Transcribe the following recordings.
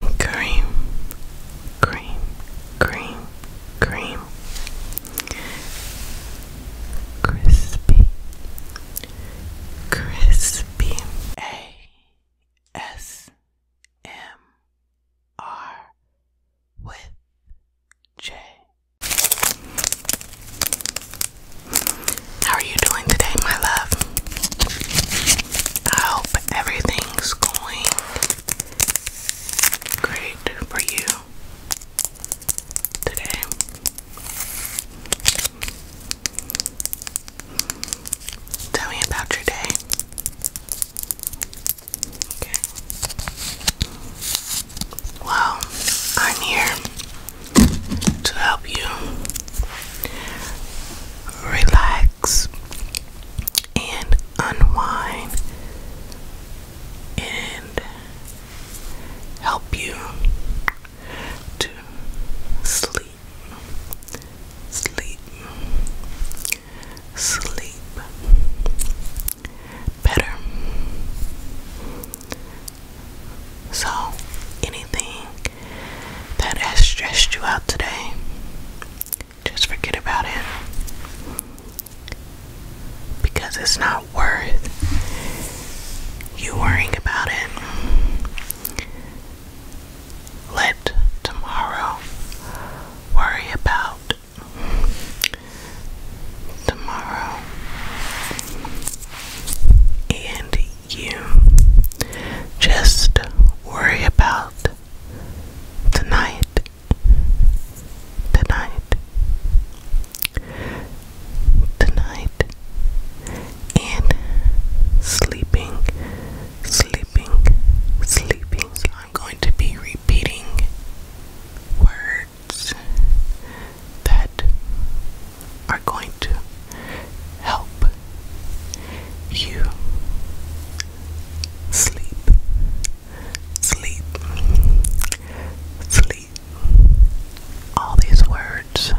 cream, cream, cream, cream, crispy, crispy, A S M R with J. How are you doing today, my love? I hope everything's going great for you today. Tell me about your day. Well, I'm here to help you relax and unwind and help you to sleep, sleep, sleep better. So, anything that has stressed you out today, just forget about it. Because it's not worth you worrying about it. Let tomorrow worry about tomorrow. And you just worry about tonight. Tonight. Tonight. And sleeping, sleeping, sleeping. I'm going to be repeating words that are going to help you sleep, sleep, sleep. All these words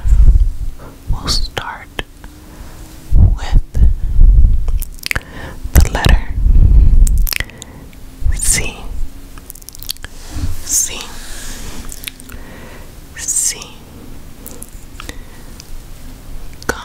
will start with the letter C. C. C.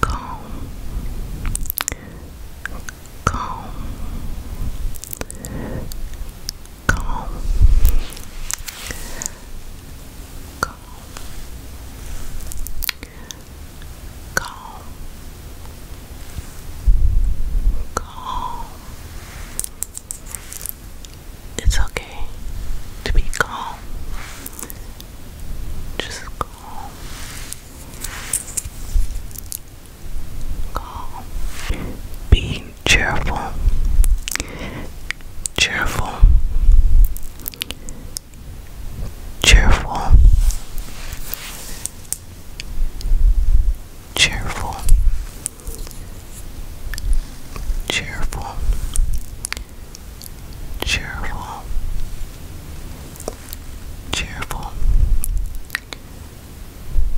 calm, calm, calm, calm, calm, calm. It's okay to be calm. Just calm. Being cheerful. Cheerful. Cheerful. Cheerful. Cheerful cheerful, cheerful,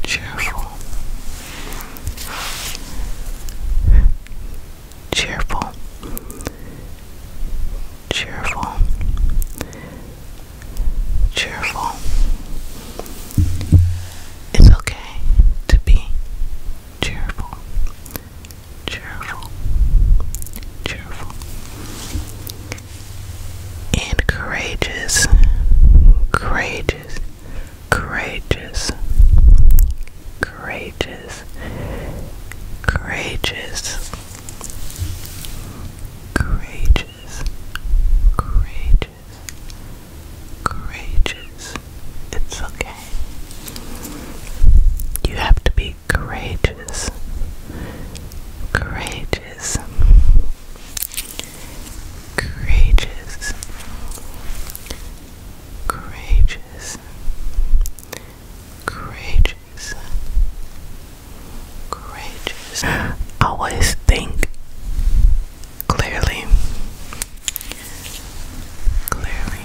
cheerful, cheerful, cheerful, cheerful. It's okay to be cheerful cheerful, cheerful, and courageous, courageous, courageous, courageous, courageous, courageous, courageous, It's okay. You have to be courageous. Courageous. Courageous. Courageous. Courageous. Courageous. Always think clearly. Clearly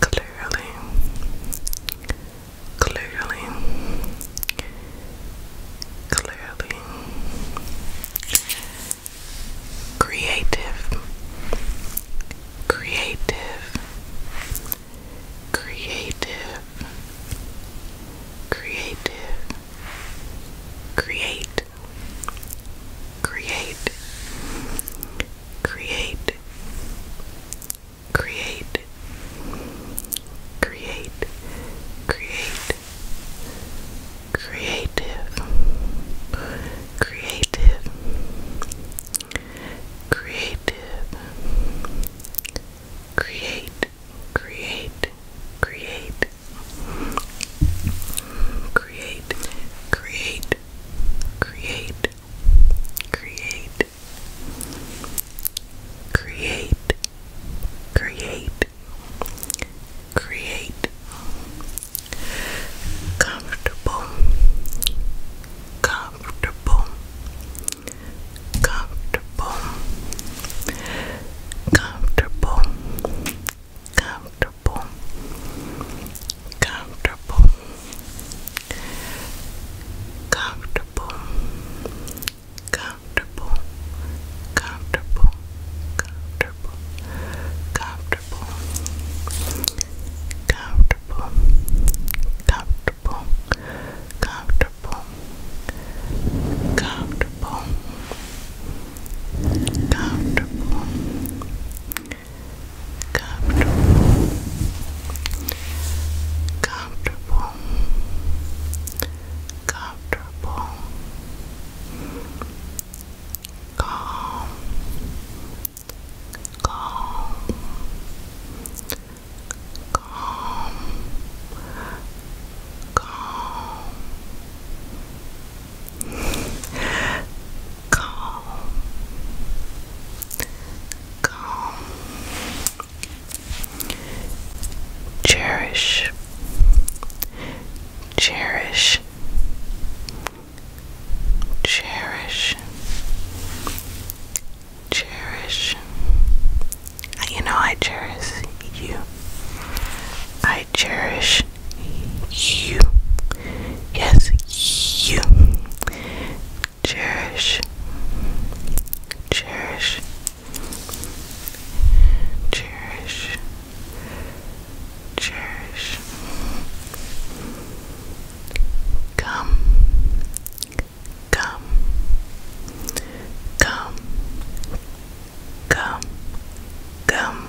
clearly, clearly, clearly, creative, creative, creative, creative, create, create, create create, create, create, creative, creative, creative, create, create, create. Create, create, create, create, create, create, create, comfortable, comfortable, comfortable, comfortable, comfortable. Comfortable, comfortable, comfortable, comfortable, comfortable, comfortable, comfortable, comfortable, comfortable, comfortable, comfortable comfortable, comfortable, comfortable, calm, calm, calm, calm calm, calm, cherish, cherish, cherish, cherish. You know, I cherish you. I cherish you. Yes, you cherish, cherish, cherish, cherish. Come, come, come, come, come.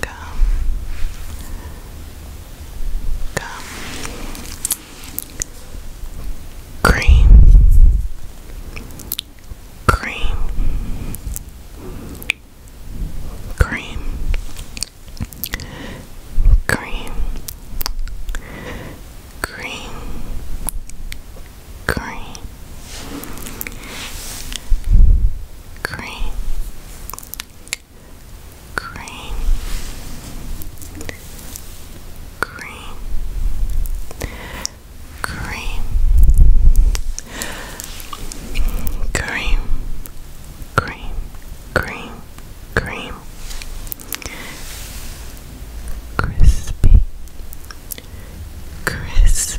Come. Come. Cream. Cream. Cream. Cream. Cream. Cream cream, cream, cream, cream, cream, cream, cream, cream, crispy, crispy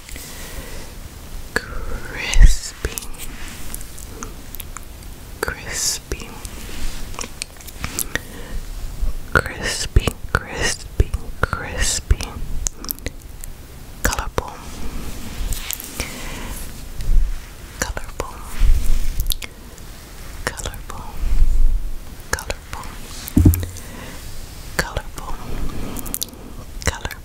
crispy, crispy, crispy, crispy, crispy, colorful, colorful, colorful, colorful, colorful, colorful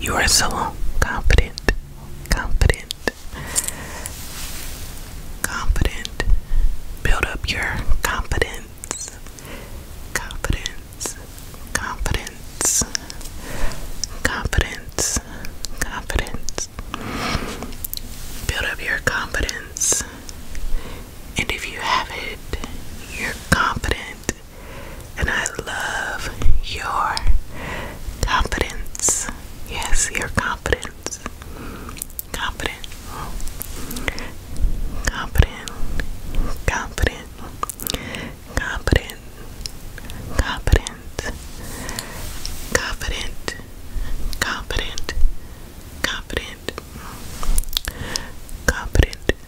you are so confident, confident, confident. Build up your confidence, confidence, confidence, confidence, confidence. Build up your confidence. And if you have it, you're confident. And I love your confidence. Yes, your confidence. Confident. Confident. Confident. Confident. Confident. Confident. Confident. Confident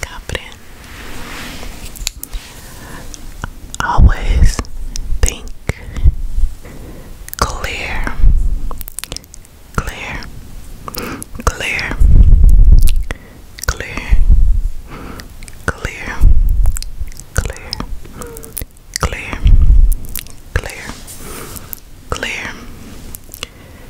confident. Always think clear, clear, clear, clear, clear, clear, clear, clear, clear,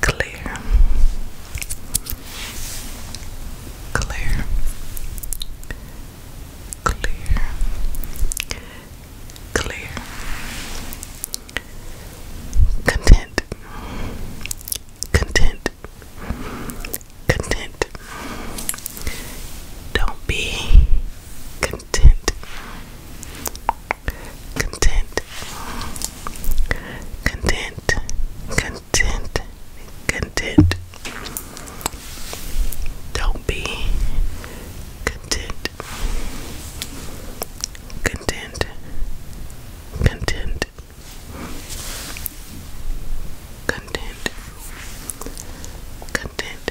clear, clear, clear, clear, content, content, content. Don't be content content, content, content, content. Don't be content, content, content, content, content. Content,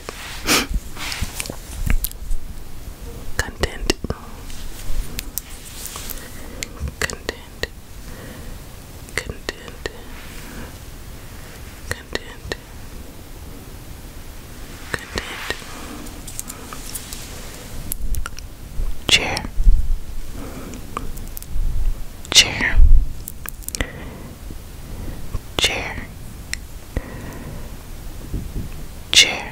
content, content, content, content, chair, chair, chair. Chair,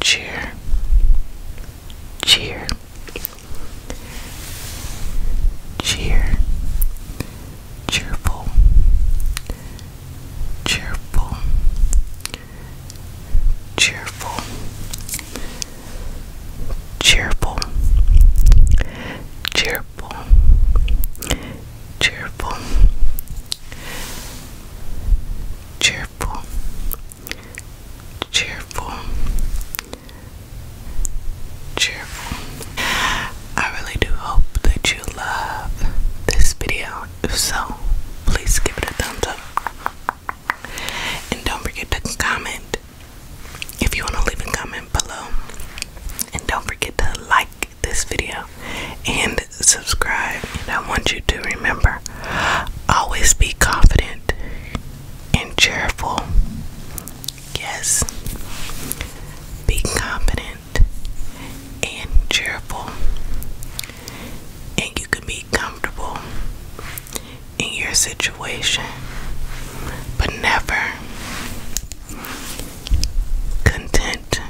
cheer, cheer, cheer, cheerful, cheerful, cheerful, cheerful, cheerful, cheerful, cheerful, cheerful, cheerful. I really do hope that you love this video. so, please give it a thumbs up. And don't forget to comment if you want to leave a comment below. And don't forget to like this video and subscribe. And I want you to remember always be confident and cheerful. Yes, be confident and cheerful. And you can be comfortable in your situation, but never content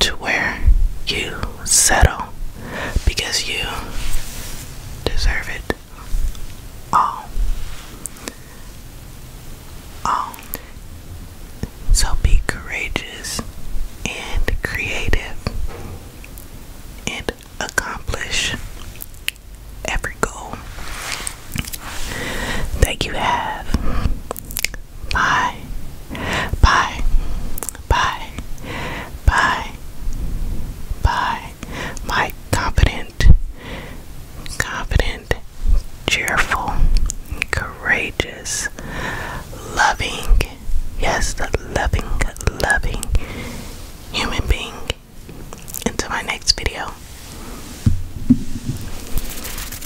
to where you settle because you deserve it all. All. So be courageous and creative and accomplish every goal that you have Bye. Bye. Bye. Bye. Bye. My confident, confident, cheerful, courageous, loving, yes, the loving, loving human being. Until my next video.